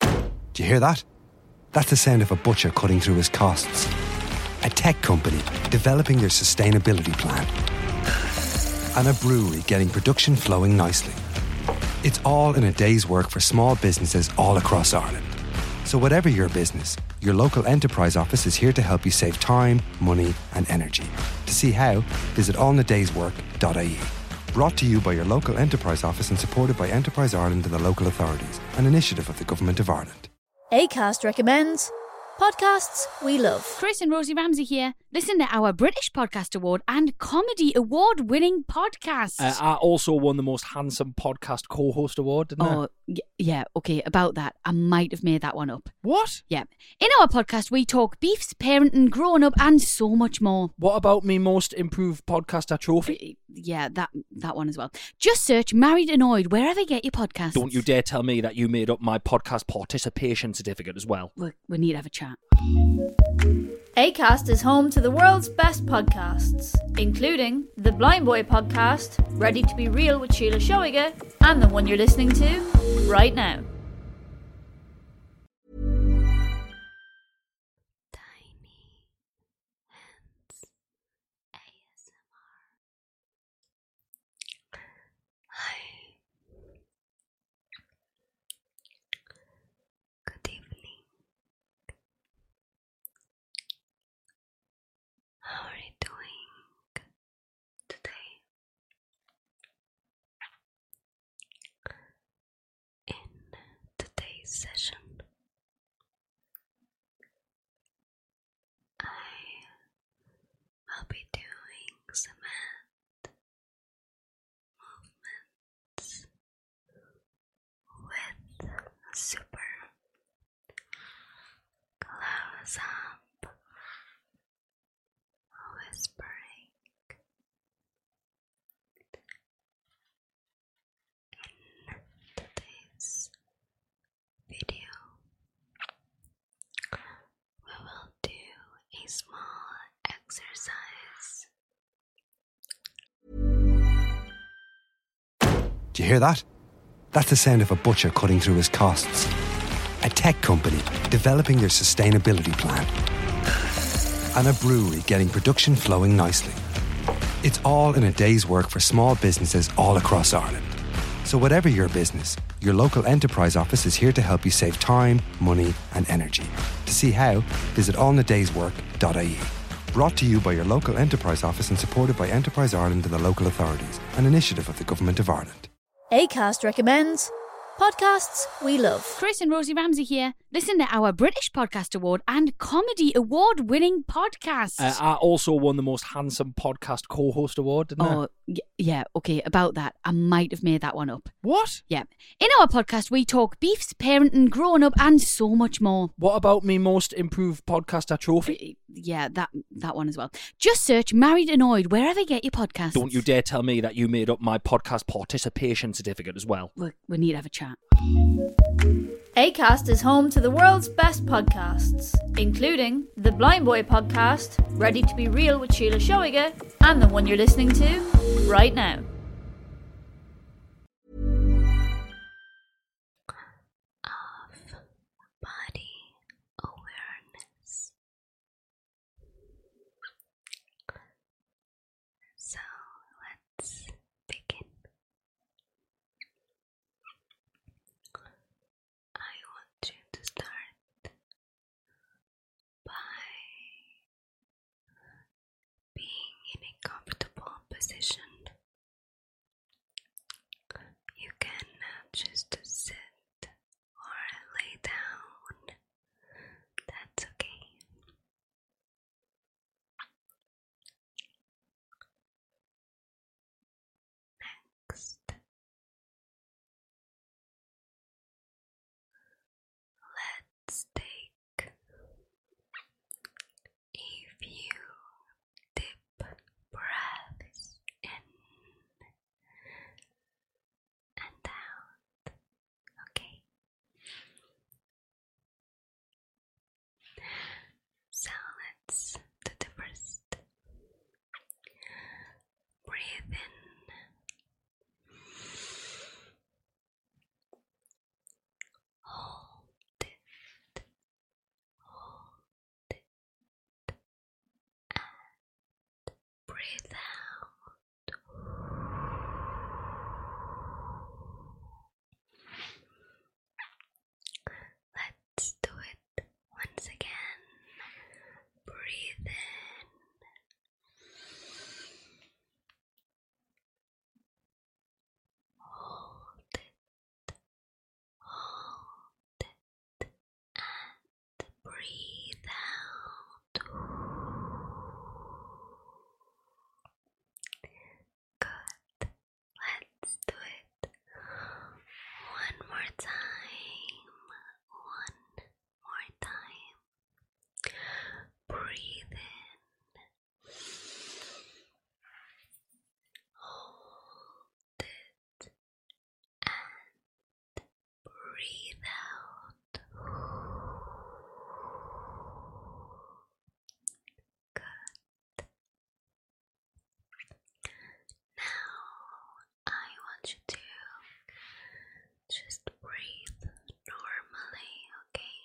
Do you hear that? That's the sound of a butcher cutting through his costs. A tech company developing their sustainability plan. And a brewery getting production flowing nicely. It's all in a day's work for small businesses all across Ireland. So, whatever your business, your local enterprise office is here to help you save time, money, and energy. To see how, visit allinadayswork.ie. Brought to you by your local enterprise office and supported by Enterprise Ireland and the local authorities, an initiative of the Government of Ireland. ACAST recommends podcasts we love. Chris and Rosie Ramsey here. Listen to our British Podcast Award and Comedy Award winning podcast. Uh, I also won the Most Handsome Podcast Co host award, oh, yeah, okay, about that. I might have made that one up. What? Yeah. In our podcast, we talk beefs, parenting, growing up, and so much more. What about me most improved podcaster trophy? Uh, yeah, that that one as well. Just search Married Annoyed wherever you get your podcast. Don't you dare tell me that you made up my podcast participation certificate as well. We, need to have a chat. ACAST is home to the world's best podcasts, including the Blind Boy podcast, Ready to Be Real with Sheila Shoiger, and the one you're listening to right now. Tiny Hands ASMR. Hi. Good evening. How are you doing today? In today's session, I will be doing some hand movements with super close up whispering in today's video, we will do a small exercise. Do you hear that? That's the sound of a butcher cutting through his costs. A tech company developing their sustainability plan and a brewery getting production flowing nicely. It's all in a day's work for small businesses all across Ireland. So, whatever your business, your local enterprise office is here to help you save time, money, and energy. To see how, visit allinadayswork.ie. Brought to you by your local enterprise office and supported by Enterprise Ireland and the local authorities, an initiative of the Government of Ireland. ACAST recommends podcasts we love. Chris and Rosie Ramsey here listen to our British Podcast Award and Comedy Award winning podcast. Uh, I also won the most handsome podcast co host award, didn't oh, yeah, okay, about that. I might have made that one up. What? Yeah. In our podcast, we talk beefs, parenting, growing up, and so much more. What about me most improved podcaster trophy? Uh, yeah, that that one as well. Just search Married Annoyed wherever you get your podcast. Don't you dare tell me that you made up my podcast participation certificate as Well, we need to have a chat. ACAST is home to the world's best podcasts, including the Blind Boy podcast, Ready to Be Real with Sheila Shoiga, and the one you're listening to right now. Of body awareness. So let's begin. I want you to start by being in a comfortable position. You can choose to sit or lay down. That's okay. Next, let's take a few deep breaths in and out. Okay. So let's do the first. Breathe in. Hold Hold And Breathe out. Let's do it once again. Breathe in. Hold it. Hold it. And breathe out. Good. Let's do it one more time. One more time. Breathe in. Hold it and breathe out. Good. Now I want you to just breathe normally, okay?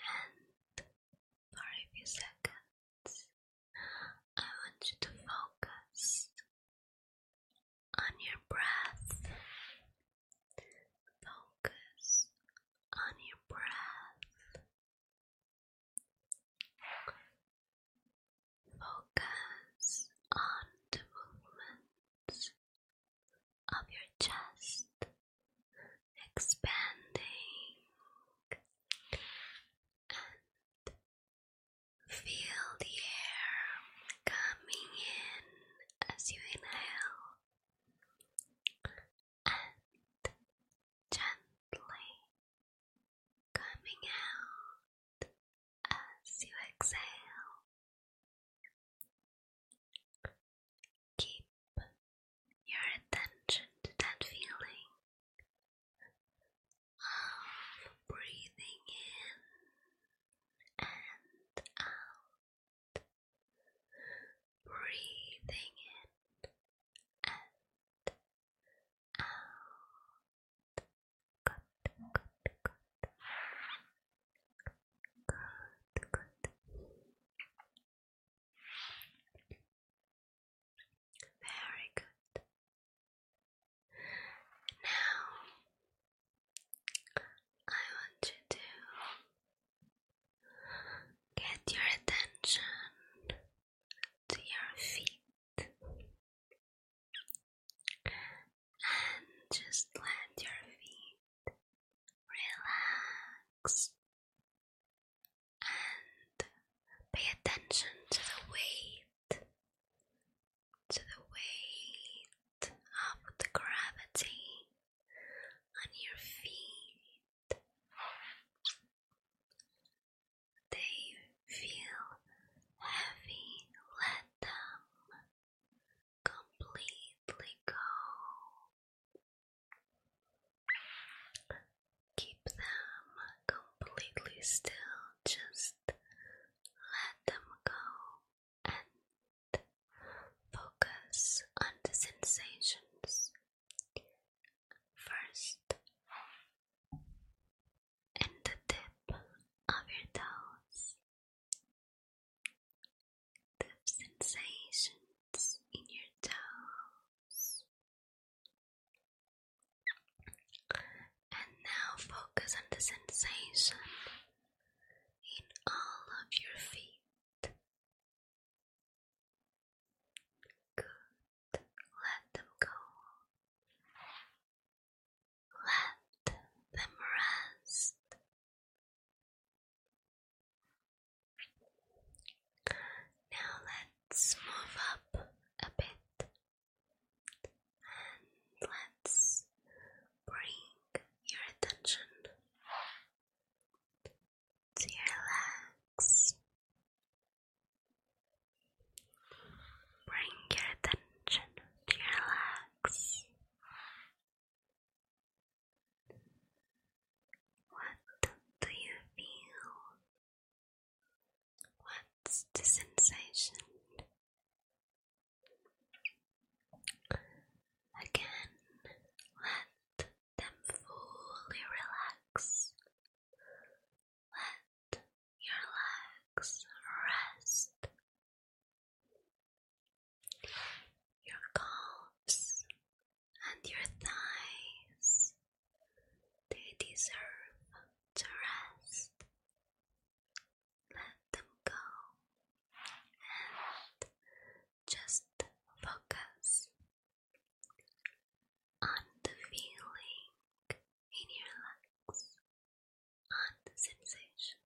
And for a few seconds, I want you to focus on your breath. Focus on your breath. Focus on the movements of your chest expanding Feel the air coming in as you inhale and gently coming out as you exhale. Keep your attention to that feeling of breathing in and out, breathing in and out. Good, good, good. Good, good. Very good. Now, I want you to get your attention to your feet and just let your feet relax and pay attention to the way to the weight of the gravity on your feet. They feel heavy. Let them completely go. Keep them completely still. Just let them go and focus on the sensations. First, in the tip of your toes, the sensations in your toes. And now focus on the sensation in all of your feet. Good. Let them go. Let them rest. Now let's move up a bit let's bring your attention to your legs. Bring your attention to your legs. What do you feel What's the sensation? Again, let them fully relax. Let your legs rest. Your calves and your thighs, they deserve to rest let them go and just focus on the feeling in your legs, on the sensation.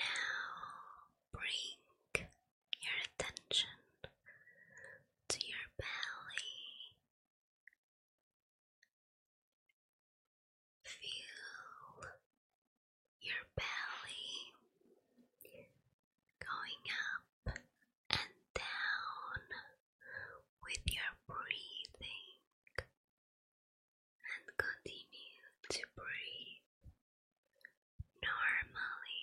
Now bring your attention to your belly. Feel your belly going up and down with your breathing and continue to breathe normally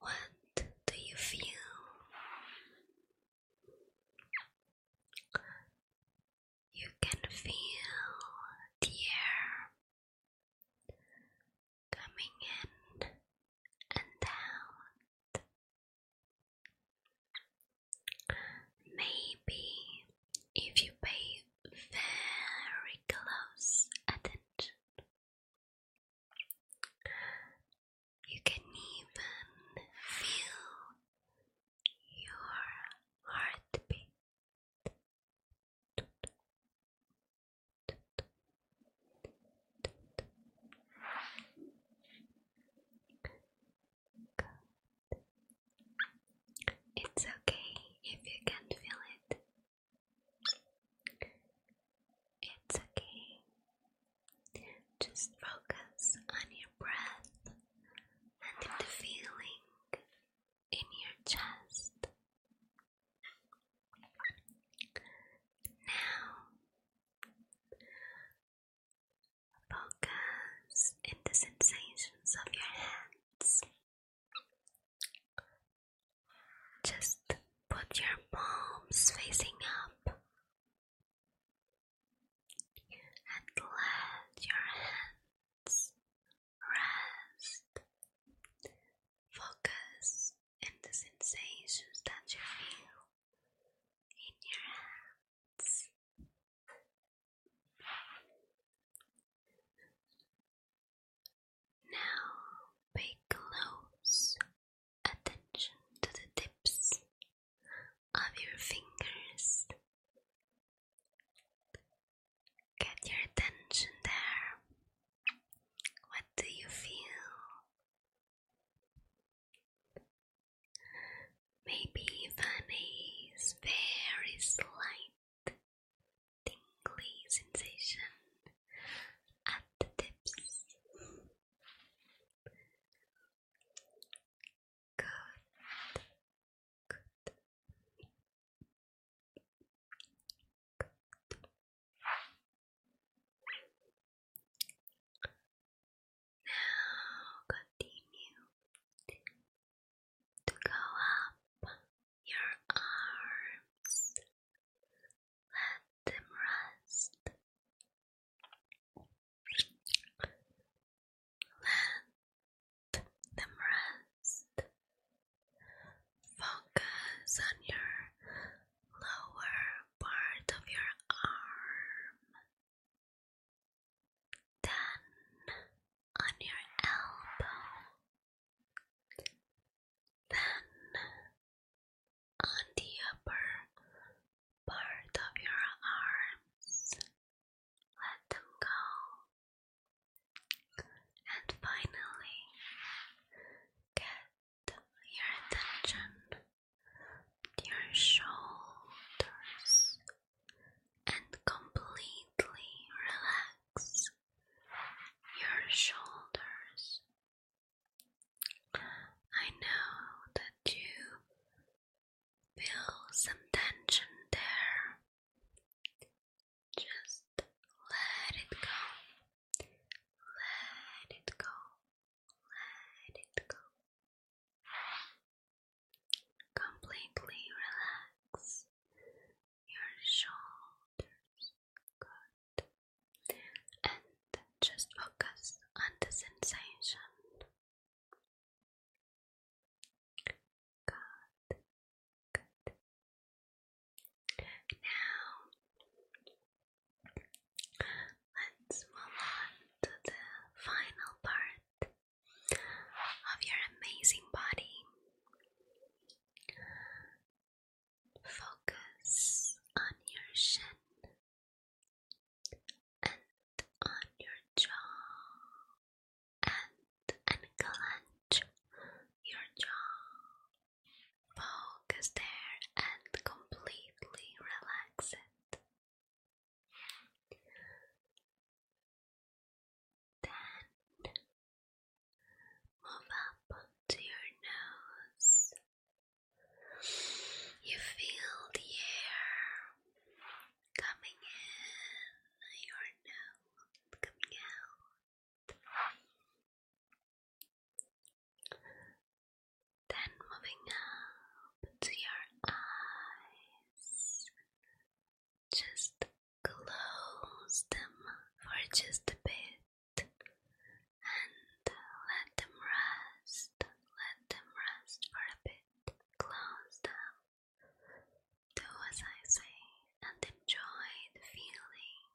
What do you feel? You can feel the air coming in and out. Maybe if you pay very close attention, you can even feel your heartbeat. Good. It's okay if you can't feel it. It's okay. Just focus on your breath and the feeling in your chest. Now, focus in the sensations of your hands. Just put your palms facing up and let your hands rest. Focus in the sensations that you feel in your hands. Now pay close attention to the tips of your fingers. Get your attention there. What do you feel? Maybe even very slight tingly sensation at the tips. Good. Good. Good. Now continue to go up your arms, let them rest, let them rest. Focus on your lower part of your arm, then on your elbow. Then, on the upper part of your arms, let them go. And finally, get your attention to your shoulders and completely relax your shoulders. I know that you feel some tension there. Just let it go. Let it go. Let it go. Completely relax your shoulders. Good. And just focus on the sensation. Good. Good. Now, let's move on to the final part of your amazing body. Focus on your shin and on your jaw and and clench your jaw. Focus there and completely relax it. Then move up to your nose. You feel the air coming in your nose, coming out. Then moving up to your eyes, just Close them for just a bit and let them rest. Let them rest for a bit. Close them. Do as I say and enjoy the feeling.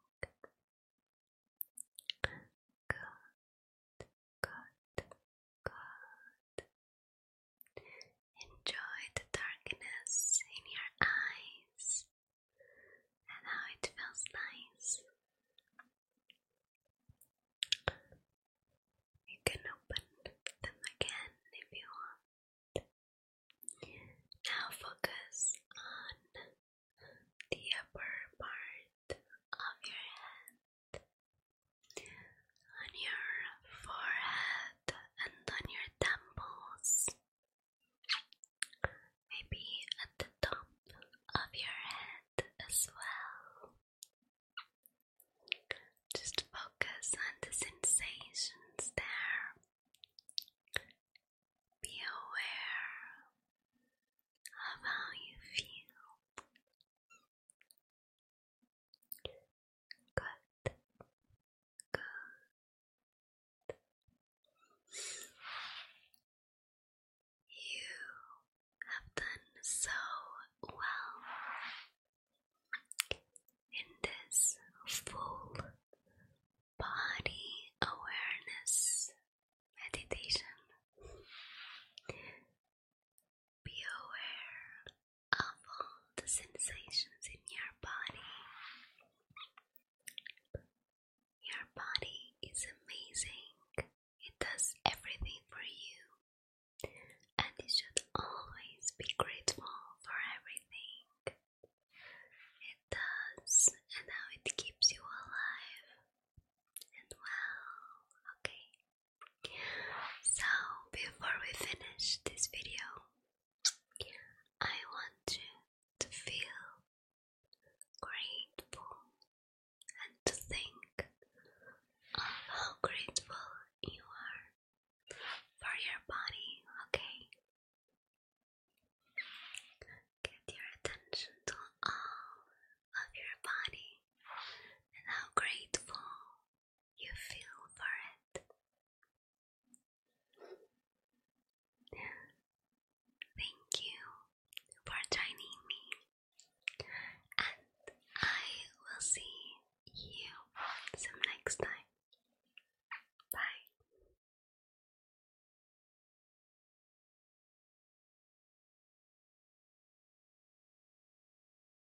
Good, good, good. Enjoy the darkness in your eyes and how it feels nice. You can open them again if you want. Now focus on the upper part of your head, on your forehead, and on your temples maybe at the top of your head as well. Just focus on the sensations there. Be aware of how you feel. Good. Good. You have done so well in this full body awareness meditation. Be aware of all the sensations in your body. Your body is amazing, it does everything for you, and you should always be grateful for everything it does and how it keeps you alive and well. Okay, so before we finish this video, I want you to feel grateful and to think how grateful you are for your body, okay? Get your attention to all of your body and how grateful you feel for it. Thank you for joining me, and I will see you some next time. Bye.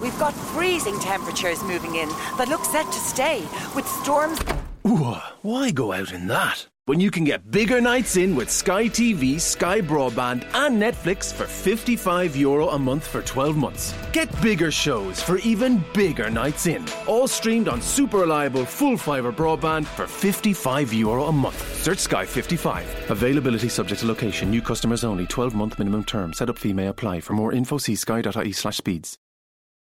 We've got freezing temperatures moving in that look set to stay with storms why go out in that? When you can get bigger nights in with Sky TV, Sky Broadband, and Netflix for 55 euro a month for 12 months. Get bigger shows for even bigger nights in. All streamed on super reliable full fiber broadband for 55 euro a month. Search Sky 55. Availability subject to location. New customers only. 12 month minimum term. Setup fee may apply. For more info, see sky.ie/speeds.